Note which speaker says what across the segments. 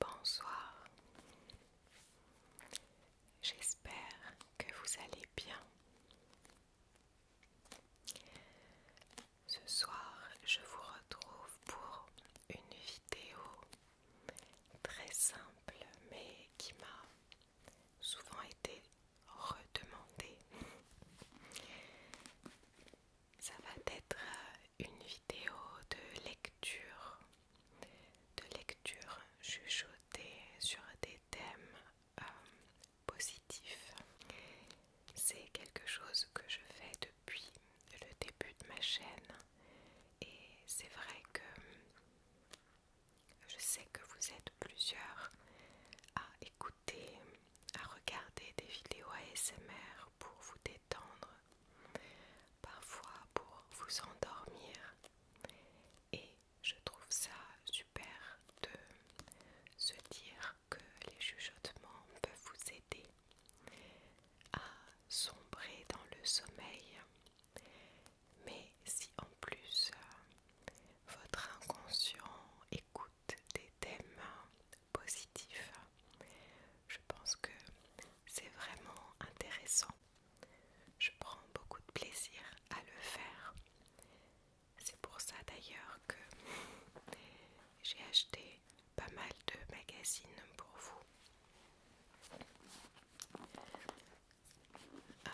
Speaker 1: Bonsoir, j'espère que vous allez bien. Ce soir, je vous retrouve pour une vidéo très simple mais qui m'a souvent été redemandée. Ça va être une vidéo de lecture, de lecture chuchotée sur des thèmes euh, positif. C'est quelque chose que je fais depuis le début de ma chaîne et c'est vrai que je sais que vous êtes plusieurs à écouter, à regarder des vidéos ASMR pour vous détendre, parfois pour vous endormir et je trouve ça super de se dire que les chuchotements peuvent vous aider à sombrer dans le sommeil. Mais si en plus euh, votre inconscient écoute des thèmes positifs, je pense que c'est vraiment intéressant. Je prends beaucoup de plaisir à le faire c'est pour ça d'ailleurs que j'ai acheté pas mal de magazines pour vous. Euh,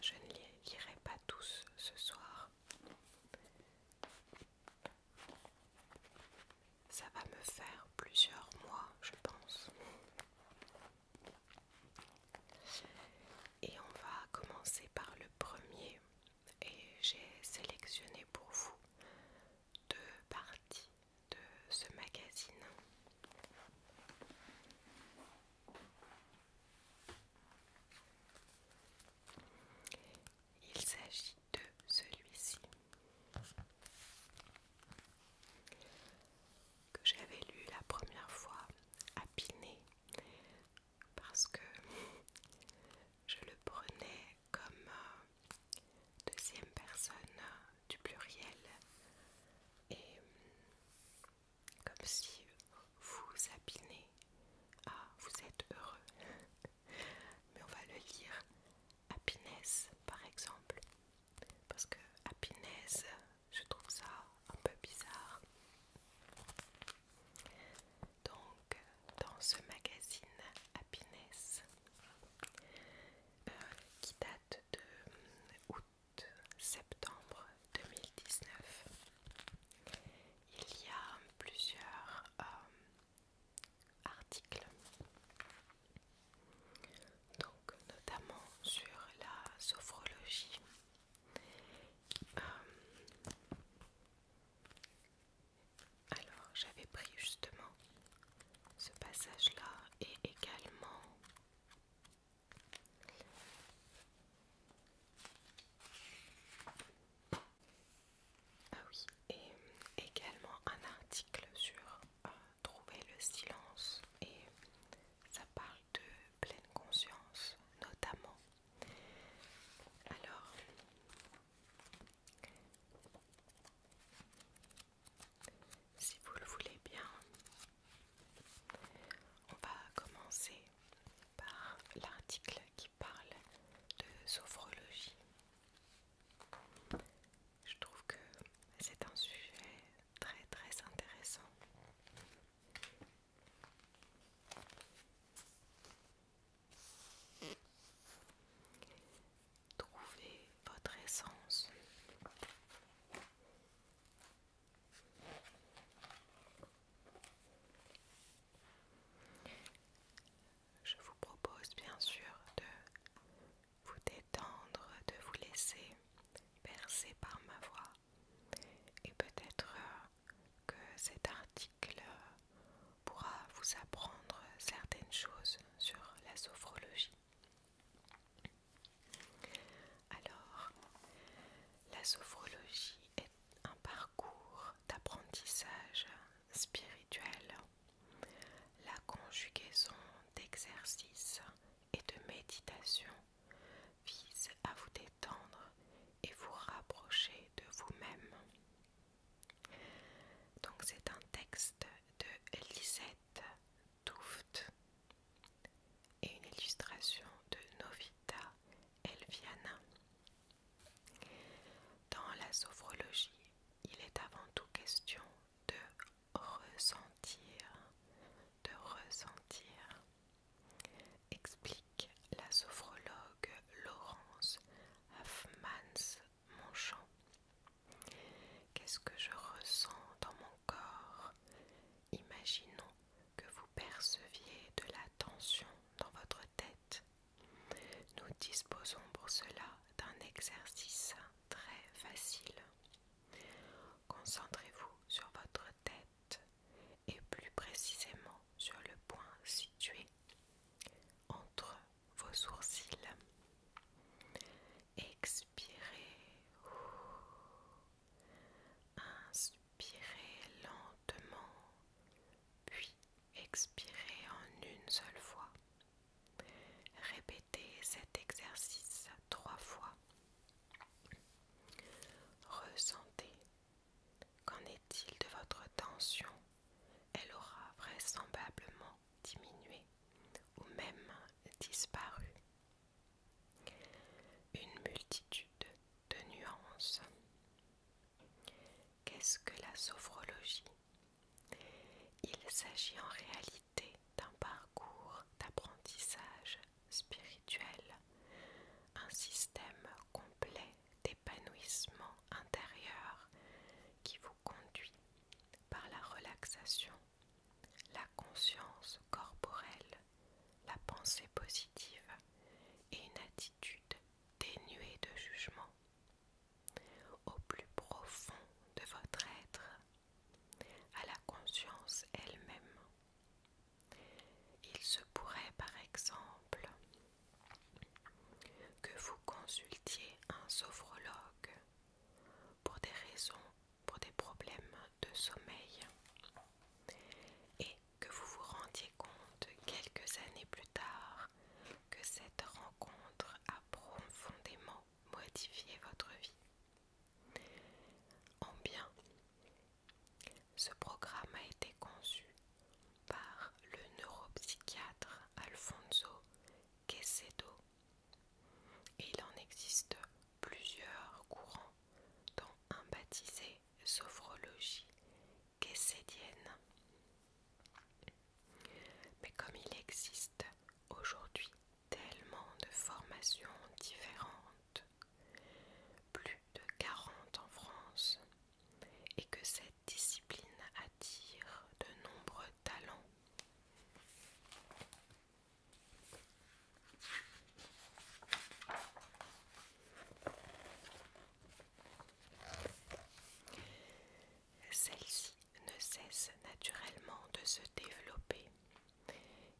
Speaker 1: je ne les lirai pas tous ce soir. Ça va me faire plusieurs mois, je pense. Et on va commencer par le premier et j'ai sélectionné pour vous deux parties de ce magazine. Il s'agit de celui-ci que j'avais lu la première fois à Piné parce que je le prenais comme euh, deuxième personne euh, du pluriel et hum, comme si vous appinez Ah, vous êtes heureux. Mais on va le lire happiness par exemple. Parce que happiness, je trouve ça un peu bizarre. Donc, dans ce magazine Happiness, euh, qui date de hum, août-septembre 2019, il y a plusieurs euh, articles, donc notamment sur la sophrologie euh, alors j'avais pris justement ce passage là et également ah oui et également un article sur euh, trouver le silence et ça parle de pleine conscience notamment alors, si vous le voulez bien, on va commencer par l'article qui parle de sophrologie. Je trouve que c'est un sujet très très intéressant. Trouvez votre essence. Je vous propose bien sûr de vous détendre, de vous laisser bercer par ma voix. Et peut-être euh, que cet article pourra vous apprendre certaines choses sur la sophrologie. Alors, la sophrologie est un parcours d'apprentissage spirituel, la conjugaison d'exercices et de méditation vise à vous Tendre et vous rapprocher de vous-même. Donc c'est un texte de Lisette douft et une illustration de Novita Elviana. Dans la sophrologie, il est avant tout question de ressentir, de ressentir explique la sophrologue Laurence Huffmans-Monchamp. Qu'est-ce que je ressens dans mon corps Imaginons que vous perceviez de la tension dans votre tête. Nous disposons pour cela d'un exercice très facile. Concentrez-vous sur votre tête et plus précisément sur le point situé entre vos sourcils. Expirez. Inspirez lentement, puis expirez en une seule fois. Répétez cet exercice trois fois. Ressentez Qu'en est-il de votre tension Elle aura vraisemblablement diminué ou même disparu. Une multitude de nuances. Qu'est-ce que la sophrologie Il s'agit en réalité d'un parcours d'apprentissage spirituel, un système complet épanouissement intérieur qui vous conduit par la relaxation, la conscience corporelle, la pensée positive et une attitude dénuée de jugement au plus profond de votre être, à la conscience elle-même. Il se pourrait par exemple que vous consultiez un sophrologue pour des raisons, pour des problèmes de sommeil et que vous vous rendiez compte quelques années plus tard que cette rencontre a profondément modifié votre vie. En bien, ce programme a été conçu par le neuropsychiatre Alfonso quesedo et il en existe plusieurs courants, dont un baptisé sophrologie quecédienne. Mais comme il existe aujourd'hui tellement de formations différentes, plus de 40 en France et que cette discipline attire de nombreux talents. Celle-ci ne cesse naturellement de se développer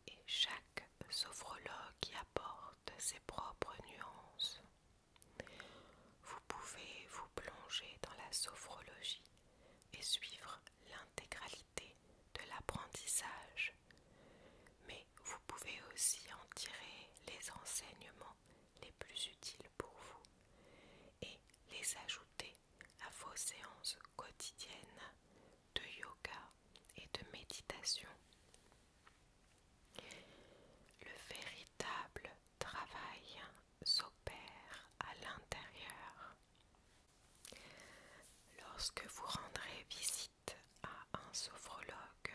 Speaker 1: et chaque sophrologue y apporte ses propres nuances. Vous pouvez vous plonger dans la sophrologie et suivre l'intégralité de l'apprentissage, mais vous pouvez aussi en tirer les enseignements les plus utiles pour vous et les ajouter à vos séances quotidiennes de yoga et de méditation. Le véritable travail s'opère à l'intérieur. Lorsque vous rendrez visite à un sophrologue,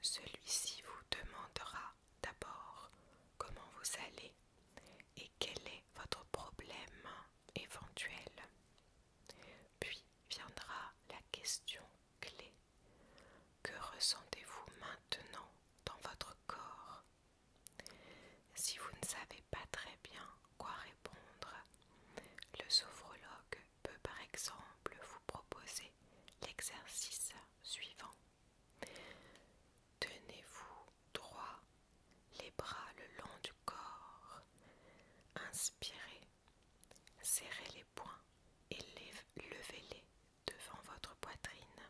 Speaker 1: celui-ci vous demandera d'abord comment vous allez et quel est votre problème éventuel. Puis viendra la question clé. Que ressentez-vous maintenant dans votre corps Si vous ne savez pas très bien quoi répondre, le sophrologue peut par exemple vous proposer l'exercice suivant. Tenez-vous droit, les bras le long du corps. Inspirez Serrez les poings et levez-les devant votre poitrine.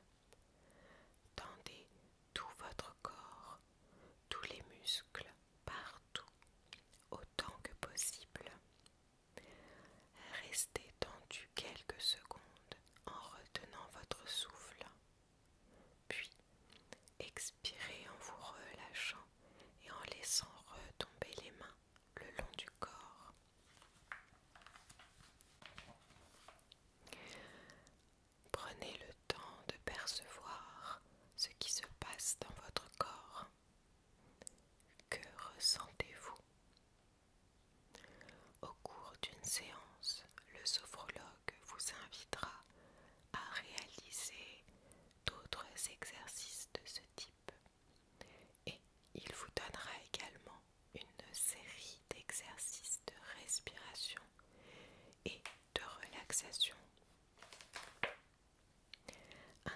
Speaker 1: Tendez tout votre corps, tous les muscles, partout, autant que possible. Restez tendu quelques secondes en retenant votre souffle. Puis, expirez en vous relâchant et en laissant retomber les mains le long du corps. Prenez le temps de percevoir ce qui se passe dans votre corps. Que ressentez-vous Au cours d'une séance, le sophrologue vous invitera à réaliser d'autres exercices de ce type. Et il vous donnera également une série d'exercices de respiration et de relaxation,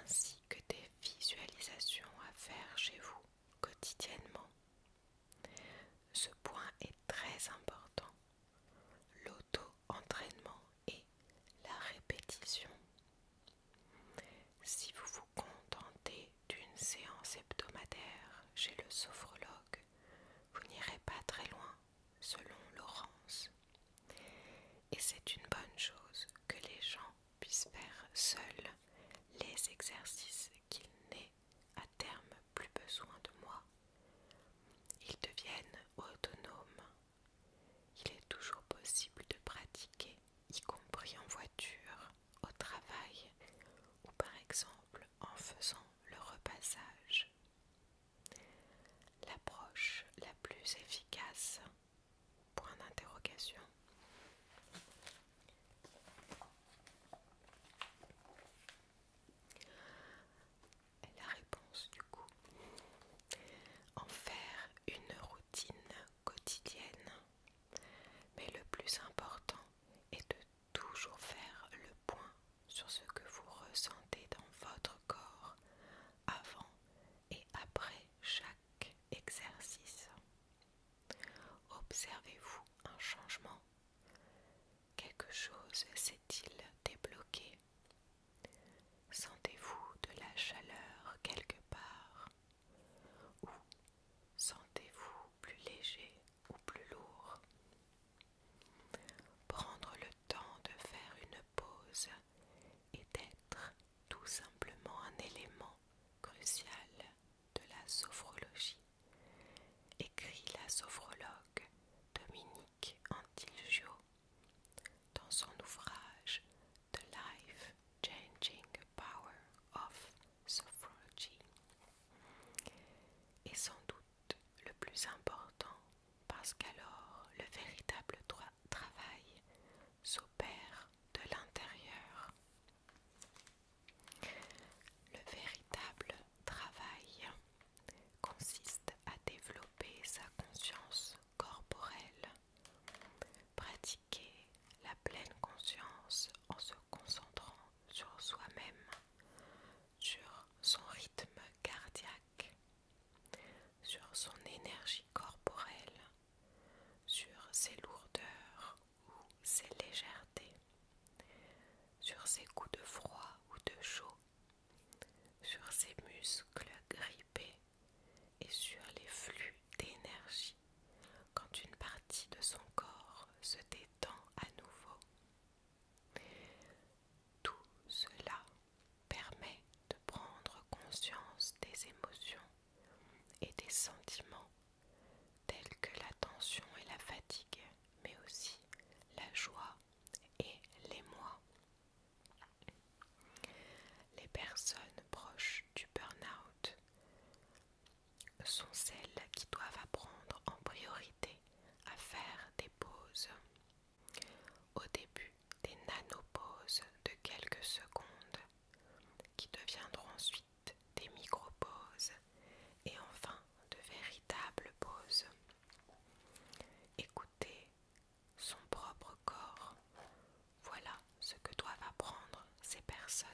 Speaker 1: ainsi que des visualisations à faire chez vous quotidiennement. Ce point est très important, l'auto-entraînement et la répétition. Si vous vous contentez d'une séance hebdomadaire chez le sophrologue, vous n'irez pas très loin, selon Laurence. Et c'est une bonne chose que les gens puissent faire seuls les exercices qu'ils n'aient à terme plus besoin de moi. Ils deviennent autonomes. Il est toujours possible de pratiquer y compris en voiture, au travail ou par exemple en faisant le repassage. L'approche la plus efficace Point d'interrogation. La réponse du coup. En faire une routine quotidienne. Mais le plus important est de toujours faire le point sur ce que vous ressentez dans votre corps avant et après chaque exercice. Observez-vous un changement Quelque chose s'est-il débloqué Sentez-vous de la chaleur quelque part ou sentez-vous plus léger ou plus lourd Prendre le temps de faire une pause est d'être tout simplement un élément crucial de la sophrologie, écrit la sophrologue Dominique Antilgio dans son ouvrage the life-changing power of sophrology est sans doute le plus important parce qu'alors le véritable droit travail s'opère de l'intérieur. Le véritable travail consiste à développer sa conscience corporelle, pratique la pleine conscience en se concentrant sur soi-même, sur son rythme cardiaque, sur son énergie corporelle, sur ses lourdeurs ou ses légèretés, sur ses coups de froid ou de chaud, sur ses muscles grippés et sur les flux d'énergie quand une partie de son corps se détend à nouveau. Tout cela permet de prendre conscience des émotions et des sentiments tels que la tension et la fatigue, mais aussi la joie et l'émoi. Les personnes proches du burn-out sont celles qui doivent apprendre en priorité à faire des pauses. Au début, des nanopauses de quelques secondes qui deviendront ensuite des micro-pauses et enfin de véritables pauses. Écouter son propre corps voilà ce que doivent apprendre ces personnes.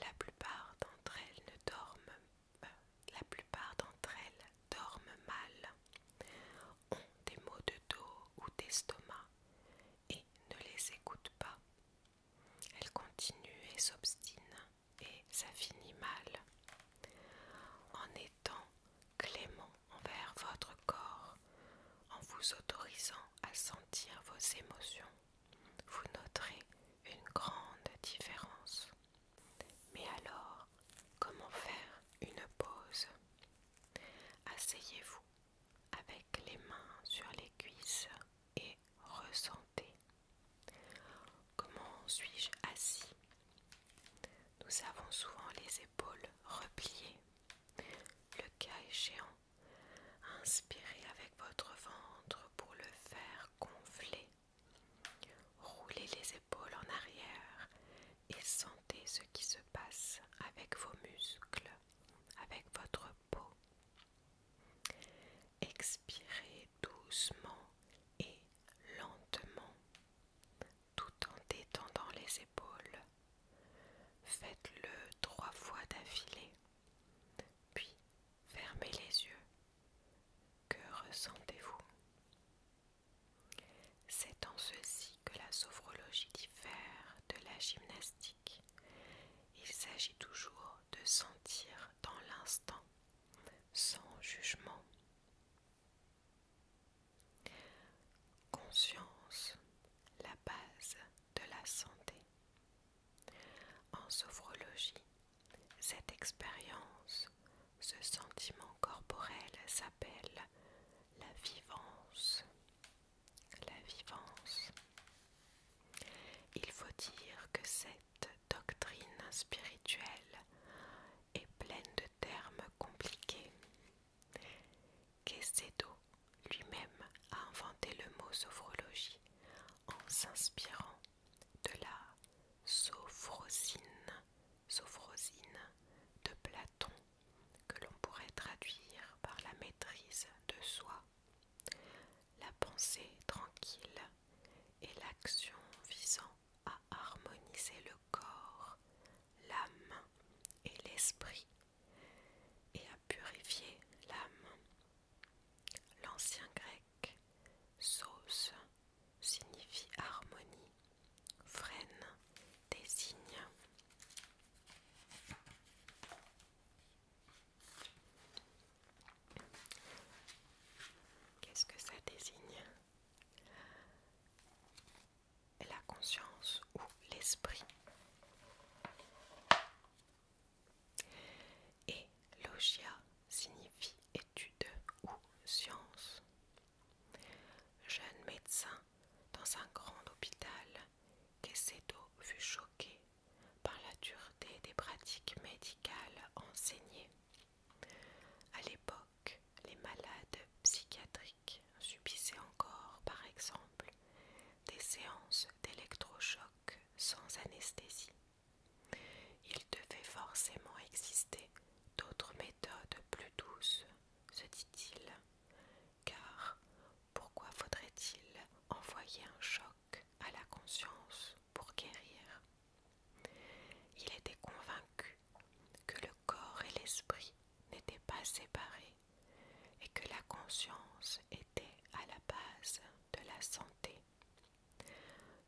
Speaker 1: La plupart d'entre elles dorment euh, la plupart d'entre elles dorment mal, ont des maux de dos ou d'estomac et ne les écoutent pas. Elles continuent et s'obstinent et ça finit mal. En étant clément envers votre corps, en vous autorisant à sentir vos émotions, vous noterez une grande différence. Mais alors, comment faire une pause Asseyez-vous avec les mains sur les cuisses et ressentez. Comment suis-je assis Nous avons souvent les épaules repliées. Le cas échéant, Inspirez avec votre ventre pour le faire gonfler. Roulez les épaules en arrière et sentez ce qui se passe avec vos muscles, avec votre peau. Expirez doucement et lentement tout en détendant les épaules Faites-le trois fois d'affilée, puis fermez les yeux. Que ressentez-vous C'est en ceci que la sophrologie diffère de la gymnastique. Il s'agit toujours de sentir dans l'instant, sans jugement. Conscience la base de la santé. En sophrologie, cette expérience, ce sentiment corporel s'appelle la vivance. La vivance. Il faut dire que cette doctrine spirituelle est pleine de termes compliqués. Quesedo lui-même a inventé le mot sophrologie en s'inspirant de la sophrosine, sophrosine de Platon que l'on pourrait traduire par la maîtrise de soi, la pensée tranquille et l'action visant à harmoniser le corps, l'âme et l'esprit et à purifier l'âme. L'ancien grec sauce signifie harmonie, freine désigne. Qu'est-ce que ça désigne La conscience ou l'esprit et logia signifie étude ou science. Jeune médecin dans un grand hôpital, Quesedo fut choqué par la dureté des pratiques médicales enseignées. À l'époque, les malades psychiatriques subissaient encore, par exemple, des séances d'électrochoc sans anesthésie. Il devait forcément exister d'autres méthodes plus douces, se dit-il, car pourquoi faudrait-il envoyer un choc à la conscience pour guérir Il était convaincu que le corps et l'esprit n'étaient pas séparés et que la conscience était à la base de la santé,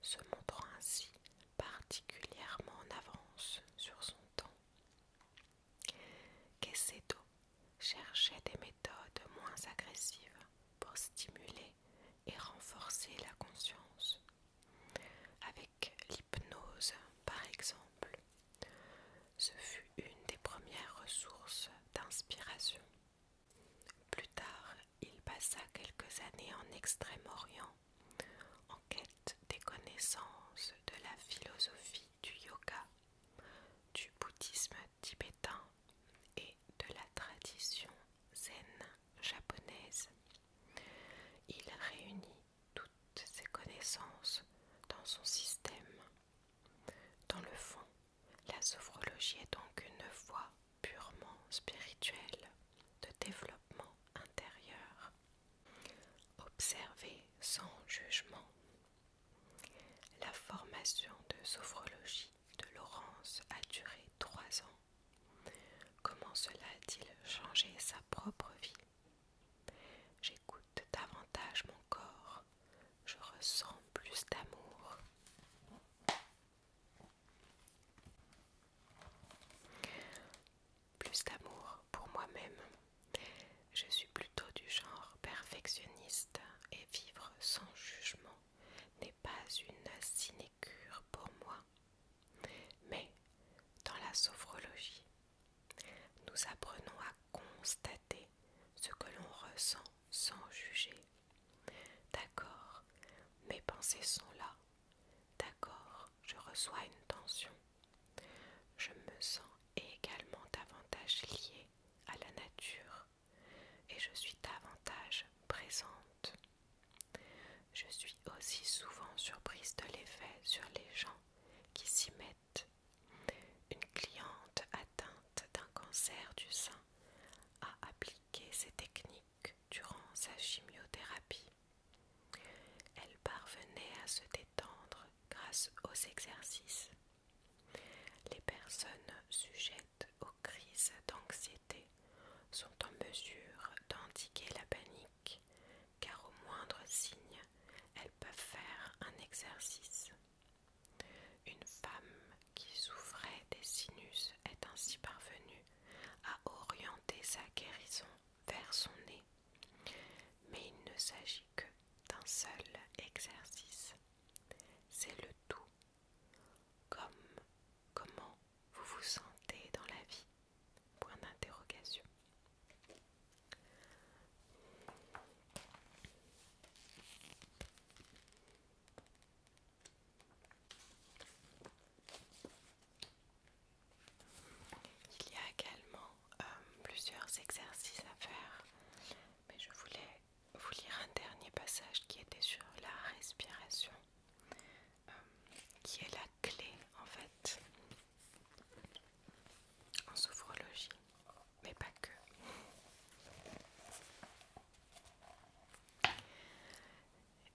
Speaker 1: se montrant ainsi particulièrement en avance sur son temps. Quecedo cherchait des méthodes moins agressives pour stimuler et renforcer la conscience, avec l'hypnose par exemple, ce fut une des premières ressources d'inspiration. Plus tard, il passa quelques années en Extrême-Orient en quête des connaissances de la philosophie du yoga, du bouddhisme tibétain et de la tradition zen japonaise. Il réunit toutes ces connaissances dans son système dans le fond, la sophrologie est donc une voie purement spirituelle de développement intérieur. observée sans jugement. La formation de sophrologie de Laurence a duré trois ans. Comment cela a-t-il changé sa propre vie J'écoute davantage mon corps je ressens plus d'amour. Plus d'amour pour moi-même. Je suis plutôt du genre perfectionniste et vivre sans jugement n'est pas une sinécure pour moi. Mais dans la sophrologie, nous apprenons à constater ce que l'on ressent sans juger. D'accord, mes pensées sont là. D'accord, je reçois une tension. Je me sens également davantage liée à la nature et je suis davantage présente. Je suis aussi souvent surprise de l'effet sur les gens qui s'y mettent une cliente atteinte d'un cancer du sein a appliqué ces techniques durant sa chimiothérapie. Elle parvenait à se détendre grâce aux exercices. Les personnes sujettes aux crises d'anxiété sont en mesure d'indiquer la panique car au moindre signe, elles peuvent faire un exercice. Une femme qui souffrait des sinus est ainsi parvenue à orienter sa guérison vers son nez, mais il ne s'agit que d'un seul exercice. C'est le tout. Comme, comment vous vous sentez dans la vie il y a également euh, plusieurs exercices à faire, mais je voulais vous lire un dernier passage qui était sur la respiration, euh, qui est la clé en fait en sophrologie mais pas que.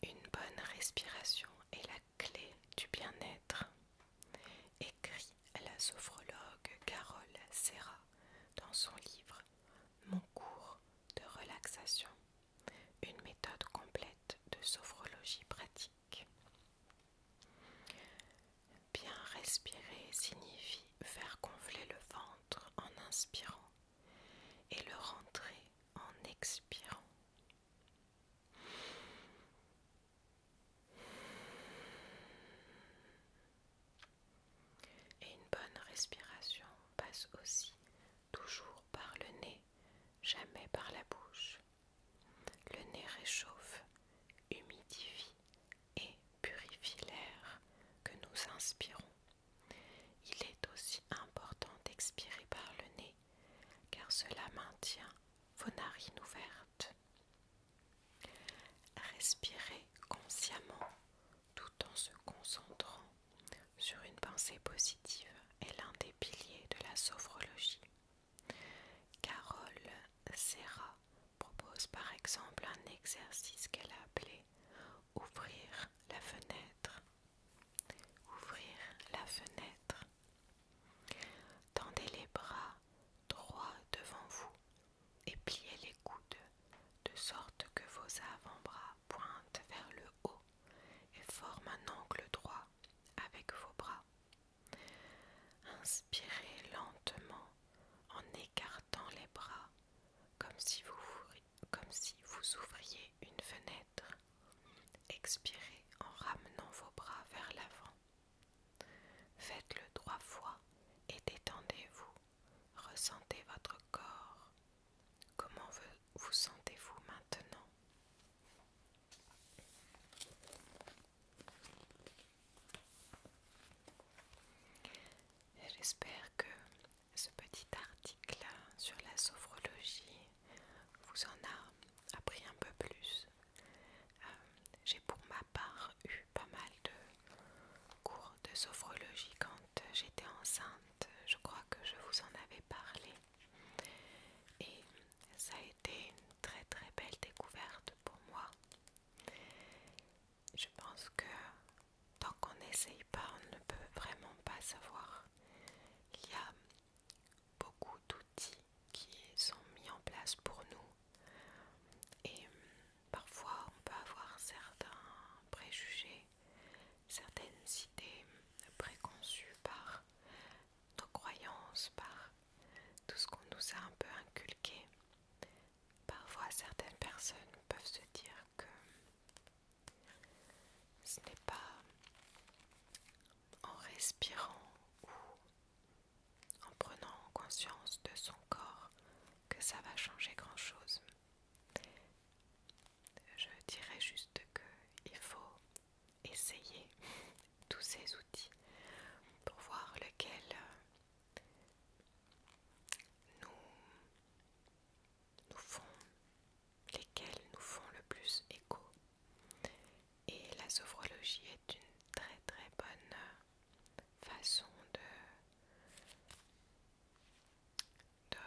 Speaker 1: Une bonne respiration est la clé du bien-être, écrit la sophrologue Carole Serra dans son livre Mon cours de relaxation, une méthode complète de sophrologie pratique. Bien respirer signifie faire gonfler le ventre en inspirant et le rentrer en expirant. Et une bonne respiration passe aussi toujours par le nez, jamais par la bouche. Le nez réchauffe, humidifie et purifie l'air que nous inspirons. Il est aussi important d'expirer par le nez car cela maintient vos narines ouvertes. Respirer consciemment tout en se concentrant sur une pensée positive est l'un des piliers de la sophrologie. Carole Serra propose par exemple un exercice qu'elle a appelé Ouvrir la fenêtre. Ouvrir la fenêtre. Tendez les bras droits devant vous et pliez les coudes de sorte que vos avant-bras pointent vers le haut et forment un angle droit avec vos bras. Inspirez lentement en écartant dans les bras, comme si vous, ouvriez une fenêtre. Expirez en ramenant vos bras vers l'avant. Faites-le trois fois et détendez-vous. Ressentez votre corps. Comment vous sentez-vous maintenant J'espère que ce petit article sur la sophrologie vous en a appris un peu plus. Euh, j'ai pour ma part eu pas mal de cours de sophrologie quand j'étais enceinte. Je crois que je vous en avais parlé. Et ça a été une très très belle découverte pour moi je pense que tant qu'on n'essaye pas, on ne peut vraiment pas savoir. Il y a beaucoup d'outils qui sont mis en place pour nous et parfois on peut avoir certains préjugés, certaines idées préconçues par nos croyances, par tout ce qu'on nous a un peu inculqué. Parfois, certaines personnes peuvent se dire que ce n'est pas en respirant ou en prenant conscience de son corps que ça va changer grand-chose. Je dirais juste qu'il faut essayer tous ces outils pour voir lequel nous, nous font, lesquels nous font le plus écho. Et la sophrologie est une très très bonne façon de, de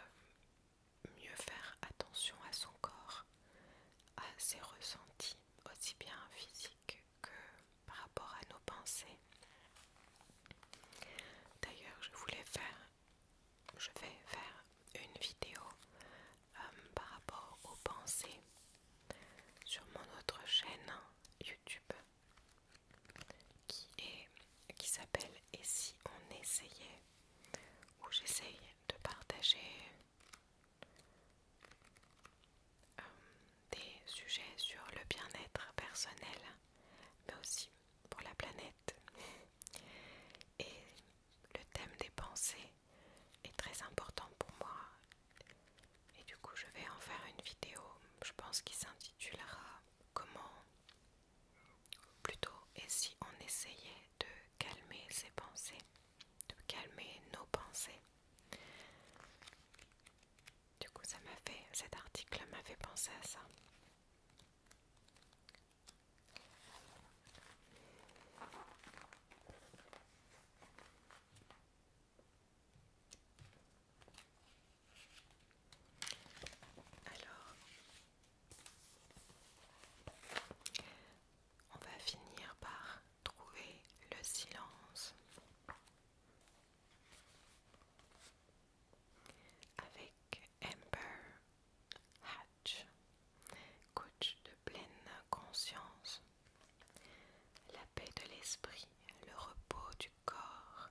Speaker 1: mieux faire attention à son corps, à ses ressentis, aussi bien physiques que par rapport à nos pensées. D'ailleurs, je voulais faire, je vais faire une vidéo euh, par rapport aux pensées sur mon autre chaîne YouTube qui est qui s'appelle Et si on essayait où j'essaye de partager euh, des sujets sur le bien-être personnel, mais aussi pour la planète. Et le thème des pensées est très important pour moi. Et du coup, je vais en faire une vidéo, je pense, qui s'intitulera Comment plutôt et si on essayait de calmer ses pensées, de calmer nos pensées. Du coup, ça m'a fait, cet article m'a fait penser à ça. Alors, on va finir par trouver le silence avec Amber Hatch, coach de pleine conscience. La paix de l'esprit, le repos du corps,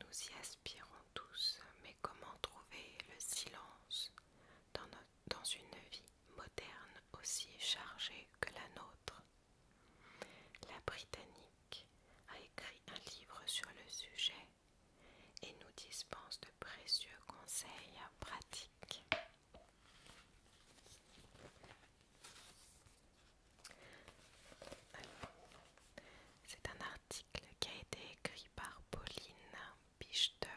Speaker 1: nous y aspirons tous, mais comment trouver le silence dans une vie moderne aussi chargée que la nôtre la Britannique a écrit un livre sur le sujet et nous dispense de précieux conseils pratiques. C'est un article qui a été écrit par Pauline Bichter.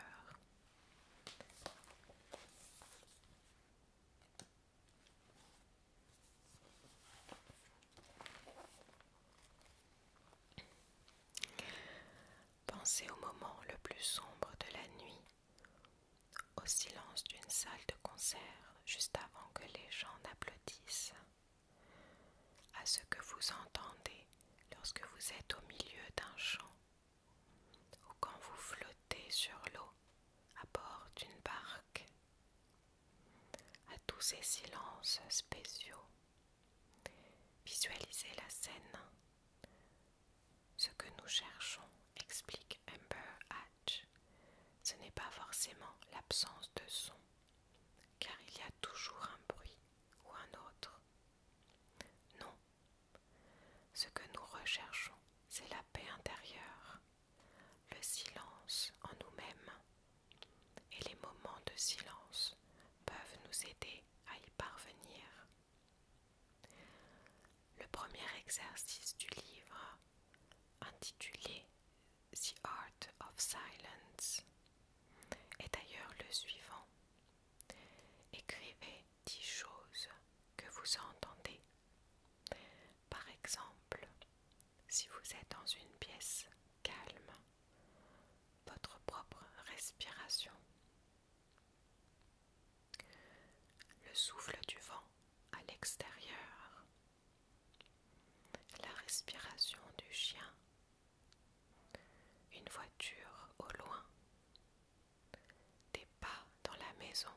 Speaker 1: Pensez au moment le plus sombre de la nuit, au silence d'une salle de concert juste avant que les gens n'applaudissent, à ce que vous entendez lorsque vous êtes au milieu d'un chant ou quand vous flottez sur l'eau à bord d'une barque à tous ces silences spéciaux. Visualisez la scène. Ce que nous cherchons, explique Amber Hatch, ce n'est pas forcément l'absence de son, car il y a toujours un bruit ou un autre. Non, ce que nous recherchons, c'est la paix intérieure, le silence en nous-mêmes. Et les moments de silence peuvent nous aider à y parvenir. Le premier exercice du livre, intitulé The Art of Silence, est d'ailleurs le suivant. Écrivez dix choses que vous entendez par exemple, si vous êtes dans une pièce calme, votre propre respiration, le souffle du vent à l'extérieur, la respiration du chien, une voiture au loin, des pas dans la maison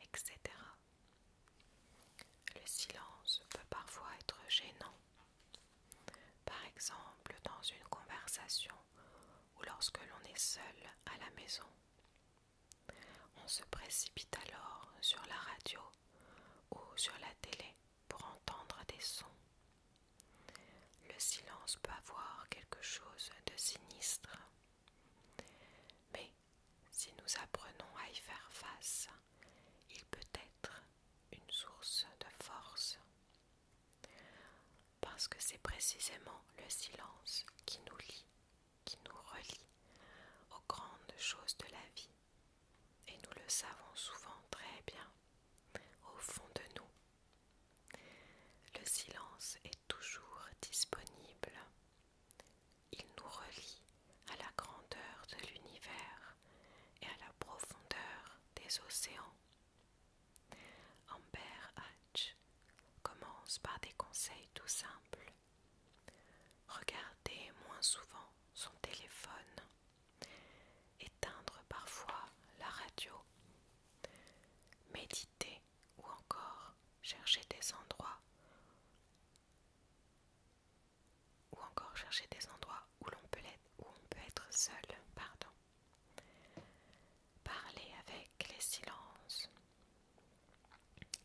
Speaker 1: etc. Le silence peut parfois être gênant, par exemple dans une conversation ou lorsque l'on est seul à la maison. On se précipite alors sur la radio ou sur la télé pour entendre des sons. Le silence peut avoir quelque chose de sinistre. Mais si nous apprenons à y faire face, il peut être une source de force. Parce que c'est précisément le silence qui nous lie, qui nous relie aux grandes choses de la vie. Et nous le savons souvent très bien, au fond de nous. Le silence est toujours disponible il nous relie à la grandeur de l'univers et à la profondeur des océans. Amber Hatch commence par des conseils tout simples. Regardez moins souvent son téléphone, éteindre parfois la radio, méditer ou encore chercher des endroits ou encore chercher des endroits où l'on peut on peut être seul, pardon. Parler avec les silences.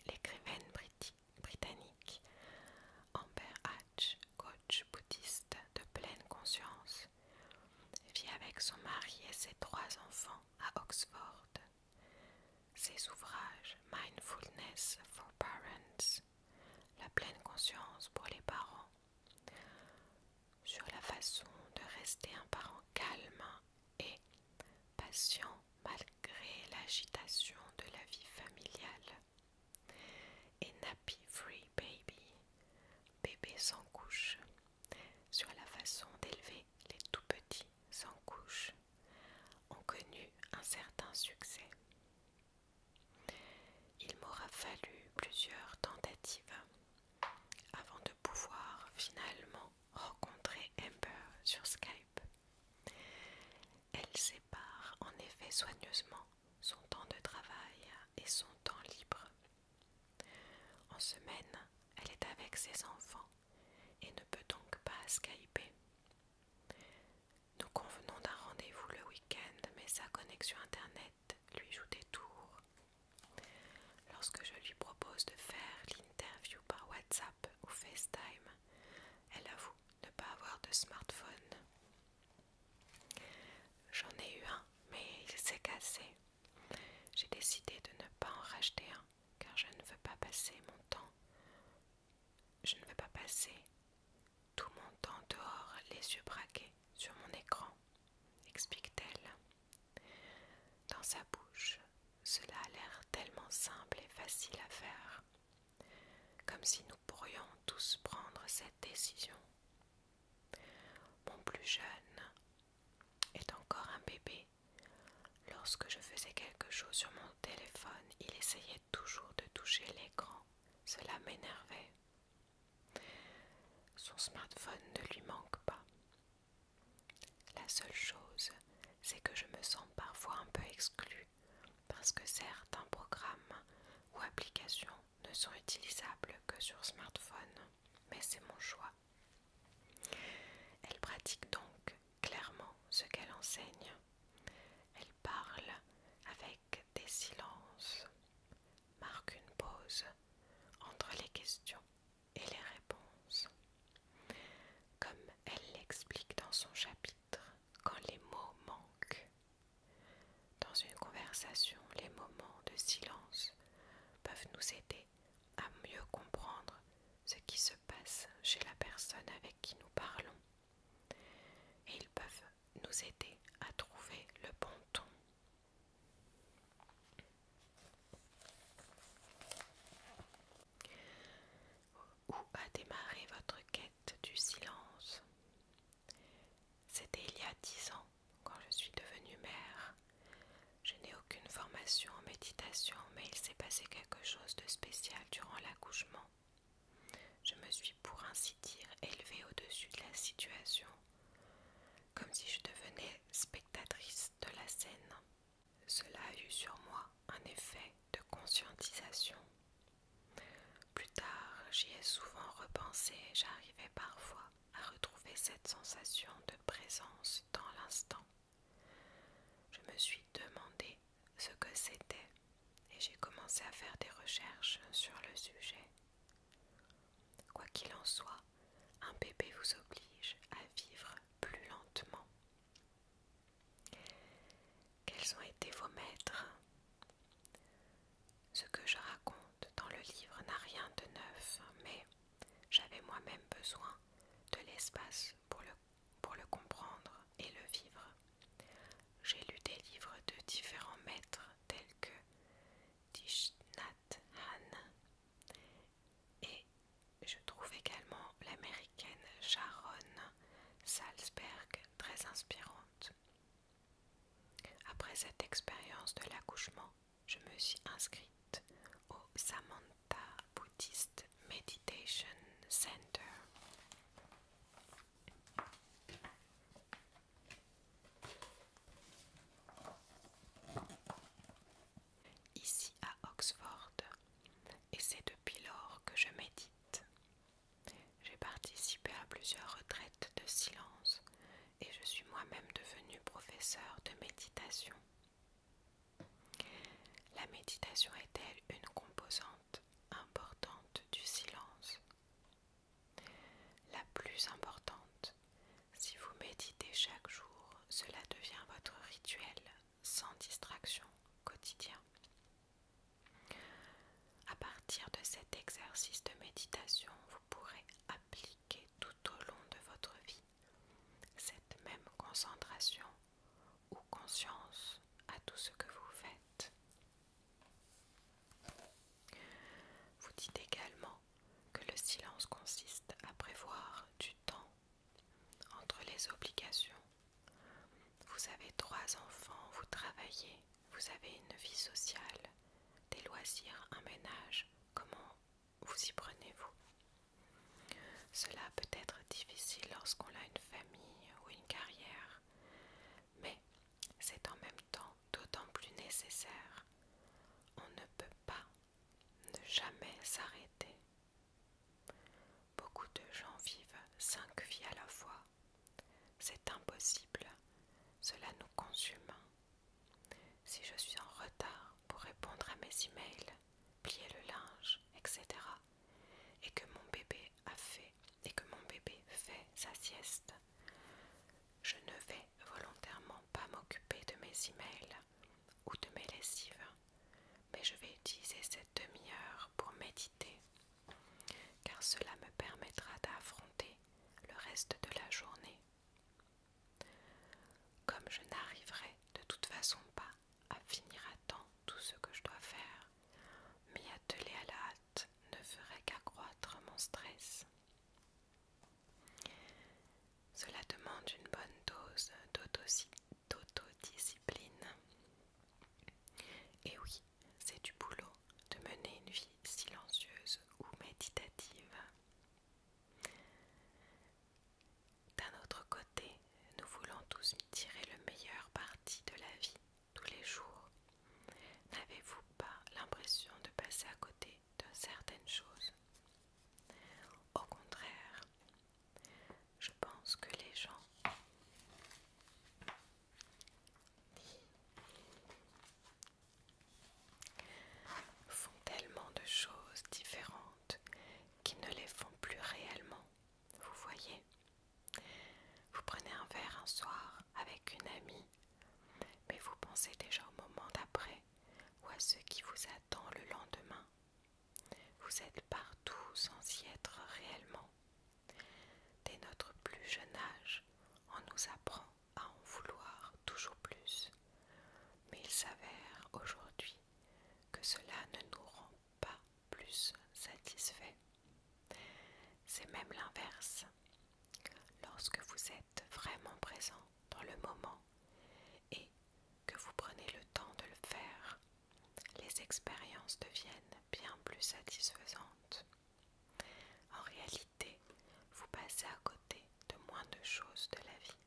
Speaker 1: L'écrivaine britannique Amber Hatch, coach bouddhiste de pleine conscience, vit avec son mari et ses trois enfants à Oxford ses ouvrages Mindfulness for Parents, La pleine conscience pour les parents, sur la façon de rester un parent calme et patient malgré l'agitation de la vie familiale, et Nappy Free Baby, bébé sans couche, sur la façon d'élever les tout petits sans couche ont connu un certain succès. Il m'aura fallu plusieurs tentatives avant de pouvoir finalement rencontrer Amber sur Skype. Elle sépare en effet soigneusement son temps de travail et son temps libre. En semaine, elle est avec ses enfants et ne peut donc pas skyper. Nous convenons d'un rendez-vous le week-end, mais sa connexion Internet lui joue des tours. Lorsque je lui propose de faire l'interview par WhatsApp ou FaceTime, elle avoue ne pas avoir de smartphone. J'en ai eu un, mais il s'est cassé. J'ai décidé de ne pas en racheter un, car je ne veux pas passer mon temps je ne veux pas passer tout mon temps dehors, les yeux braqués sur mon écran, explique-t-elle. Dans sa bouche, cela a l'air tellement simple et facile à faire, comme si nous pourrions tous prendre cette décision. Mon plus jeune est encore un bébé Lorsque je faisais quelque chose sur mon téléphone, il essayait toujours de toucher l'écran. Cela m'énervait. Son smartphone ne lui manque pas. La seule chose, c'est que je me sens parfois un peu exclue parce que certains programmes ou applications ne sont utilisables que sur smartphone, mais c'est mon choix. Elle pratique donc clairement ce qu'elle enseigne. Elle parle avec des silences, marque une pause entre les questions et les réponses. Comme elle l'explique dans son chapitre, quand les mots manquent. Dans une conversation, les moments de silence peuvent nous aider à mieux comprendre ce qui se passe chez la personne avec qui nous parlons et ils peuvent nous aider à trouver le bon ton. Où a démarré votre quête du silence C'était il y a dix ans, quand je suis devenue mère. Je n'ai aucune formation en méditation, mais il s'est passé quelque chose de spécial durant l'accouchement je me suis pour ainsi dire élevée au-dessus de la situation, comme si je devenais spectatrice de la scène. Cela a eu sur moi un effet de conscientisation. Plus tard, j'y ai souvent repensé et j'arrivais parfois à retrouver cette sensation de présence dans l'instant. Je me suis demandé ce que c'était et j'ai commencé à faire des recherches sur le sujet. Quoi qu'il en soit, un bébé vous oblige à vivre plus lentement. Quels ont été vos maîtres Ce que je raconte dans le livre n'a rien de neuf, mais j'avais moi-même besoin de l'espace pour le pour le comprendre et le vivre. J'ai lu des livres de différents maîtres tels que Dishnat Han et je trouve également l'américaine Sharon Salzberg très inspirante. Après cette expérience de l'accouchement, je me suis inscrite au Samantha Buddhist Meditation Center. Ici à Oxford, et c'est depuis lors que je médite. J'ai participé à plusieurs retraites de silence et je suis moi-même devenue professeur de méditation. La méditation est-elle une composante importante du silence La plus importante. Si vous méditez chaque jour, cela devient votre rituel sans distraction quotidien. À partir de cet exercice de méditation, vous pourrez appliquer tout au long de votre vie cette même concentration ou conscience à tout ce que vous faites. Vous dites également que le silence consiste à prévoir du temps entre les obligations. Vous avez trois enfants, vous travaillez, vous avez une vie sociale, des loisirs, un ménage. Comment vous y prenez-vous Cela peut être difficile lorsqu'on a une famille ou une carrière, mais c'est en même temps d'autant plus nécessaire. On ne peut pas ne jamais s'arrêter. Beaucoup de gens vivent cinq vies à la fois. C'est impossible, cela nous consume. Si je suis en retard pour répondre à mes emails, plier le linge, etc., et que mon bébé a fait et que mon bébé fait sa sieste. Je ne vais volontairement pas m'occuper de mes emails ou de mes lessives, mais je vais utiliser cette demi-heure pour méditer, car cela me permettra d'affronter le reste de la journée. Comme je n'arriverai de toute façon pas à finir à temps tout ce que je dois faire. mais atteler à la hâte ne ferait qu'accroître mon stress. Cela demande une bonne dose d'autodiscipline. Et oui, c'est du boulot de mener une vie silencieuse ou méditative. D'un autre côté, nous voulons tous tirer le meilleur parti de la vie tous les jours. N'avez-vous pas l'impression de passer à côté de certaines choses Au contraire, je pense que les gens font tellement de choses différentes qui ne les font plus réellement, vous voyez vous prenez un verre un soir avec une amie, mais vous pensez déjà au moment d'après ou à ce qui vous attend le lendemain. Vous êtes partout sans y être réellement. Dès notre plus jeune âge, on nous apprend à en vouloir toujours plus. Mais il s'avère aujourd'hui que cela ne nous rend pas plus satisfait. C'est même l'inverse. Lorsque vous êtes vraiment présent dans le moment et que vous prenez le temps de le faire, les expériences deviennent bien plus satisfaisantes. En réalité, vous passez à côté de moins de choses de la vie.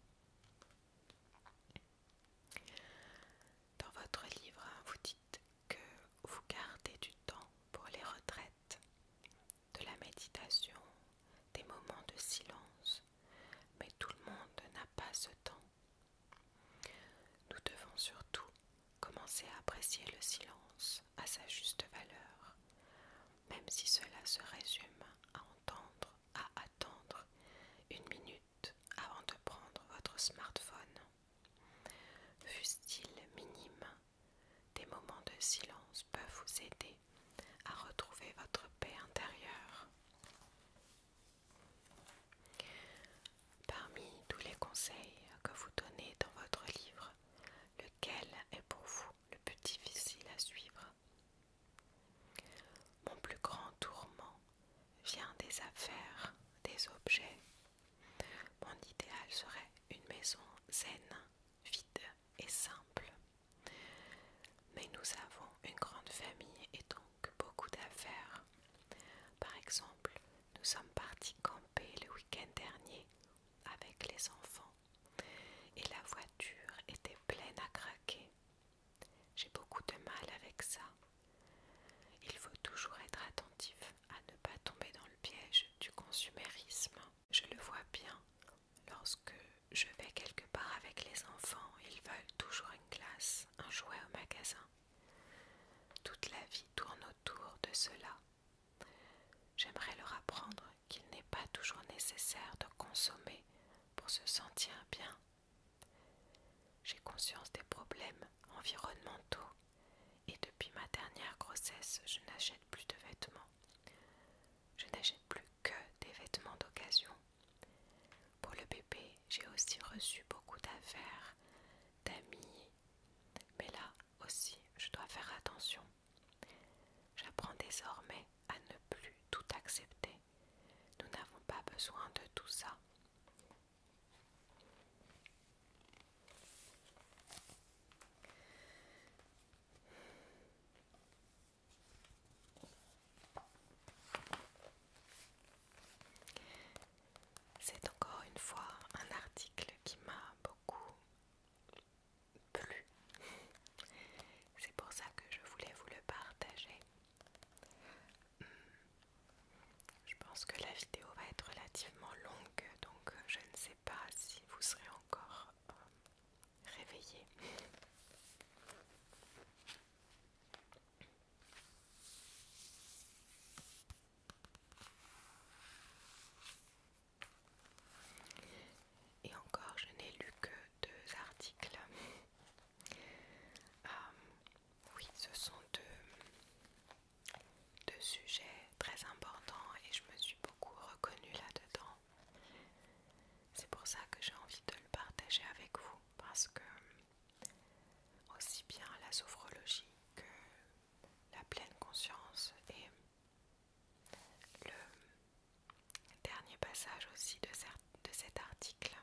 Speaker 1: Dans votre livre, vous dites que vous gardez du temps pour les retraites, de la méditation, des moments de silence, mais tout le monde n'a pas ce temps. Nous devons surtout commencer à apprécier le silence à sa juste valeur, même si cela se résume à entendre, à attendre une minute avant de prendre votre smartphone. Fussent-ils minimes, des moments de silence peuvent vous aider à retrouver votre paix intérieure. Parmi tous les conseils que vous donnez dans votre livre, lequel est pour vous le plus difficile à suivre Mon plus grand tourment vient des affaires, des objets. Mon idéal serait une maison zen, vide et simple. Mais nous avons une grande famille et donc beaucoup d'affaires. Par exemple, nous sommes partis camper le week-end dernier avec les enfants et la voiture était pleine à craquer. J'ai beaucoup de mal avec ça. Il faut toujours être attentif à ne pas tomber dans le piège du consumérisme. Je le vois bien. Lorsque je vais quelque part avec les enfants, ils veulent toujours une glace, un jouet au magasin. Toute la vie tourne autour de cela. J'aimerais leur apprendre qu'il n'est pas toujours nécessaire de consommer pour se sentir bien. J'ai conscience des problèmes environnementaux et depuis ma dernière grossesse je n'achète plus de vêtements. Je n'achète plus que des vêtements d'occasion. Pour le bébé, j'ai aussi reçu beaucoup d'affaires, d'amis, mais là aussi je dois faire attention. J'apprends désormais à ne plus tout accepter. Nous n'avons pas besoin de tout ça. C'est encore une fois un article qui m'a beaucoup plu. C'est pour ça que je voulais vous le partager. Je pense que la vidéo va être relativement longue, donc euh, je ne sais pas si vous serez encore réveillés. Euh, réveillé. Et encore, je n'ai lu que deux articles. Euh, oui, ce sont deux, deux sujets très importants et je me suis beaucoup reconnue là-dedans. C'est pour ça que j'ai envie de le partager avec vous parce que aussi bien la sophrologie que la pleine conscience et le dernier passage aussi de cet article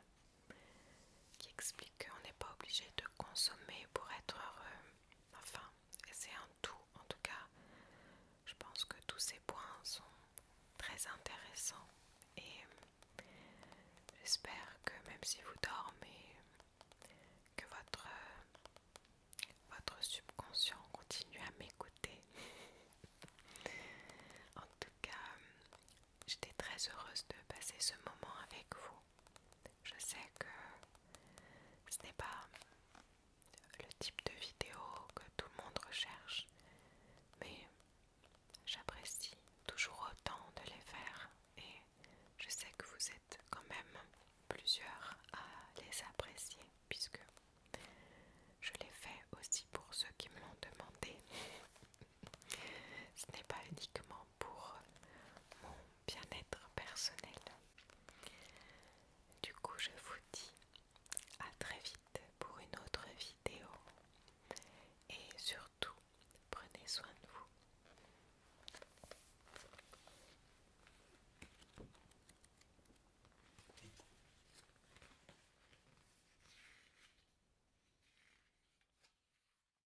Speaker 1: qui explique qu'on n'est pas obligé de consommer pour être heureux. Enfin, c'est un tout en tout cas. Je pense que tous ces points sont très intéressants et j'espère que même si vous dormez, que votre, votre subconscient continue à m'écouter. en tout cas, j'étais très heureuse de passer ce moment avec vous. Je sais que ce n'est pas le type de vidéo que tout le monde recherche, mais j'apprécie toujours autant de les faire et je sais que vous êtes quand même plusieurs à les apprécier puisque je les fais aussi pour ceux qui me l'ont demandé. ce n'est pas uniquement pour mon bien-être personnel. Du coup, je vous dis à très vite pour une autre vidéo et surtout, prenez soin de vous.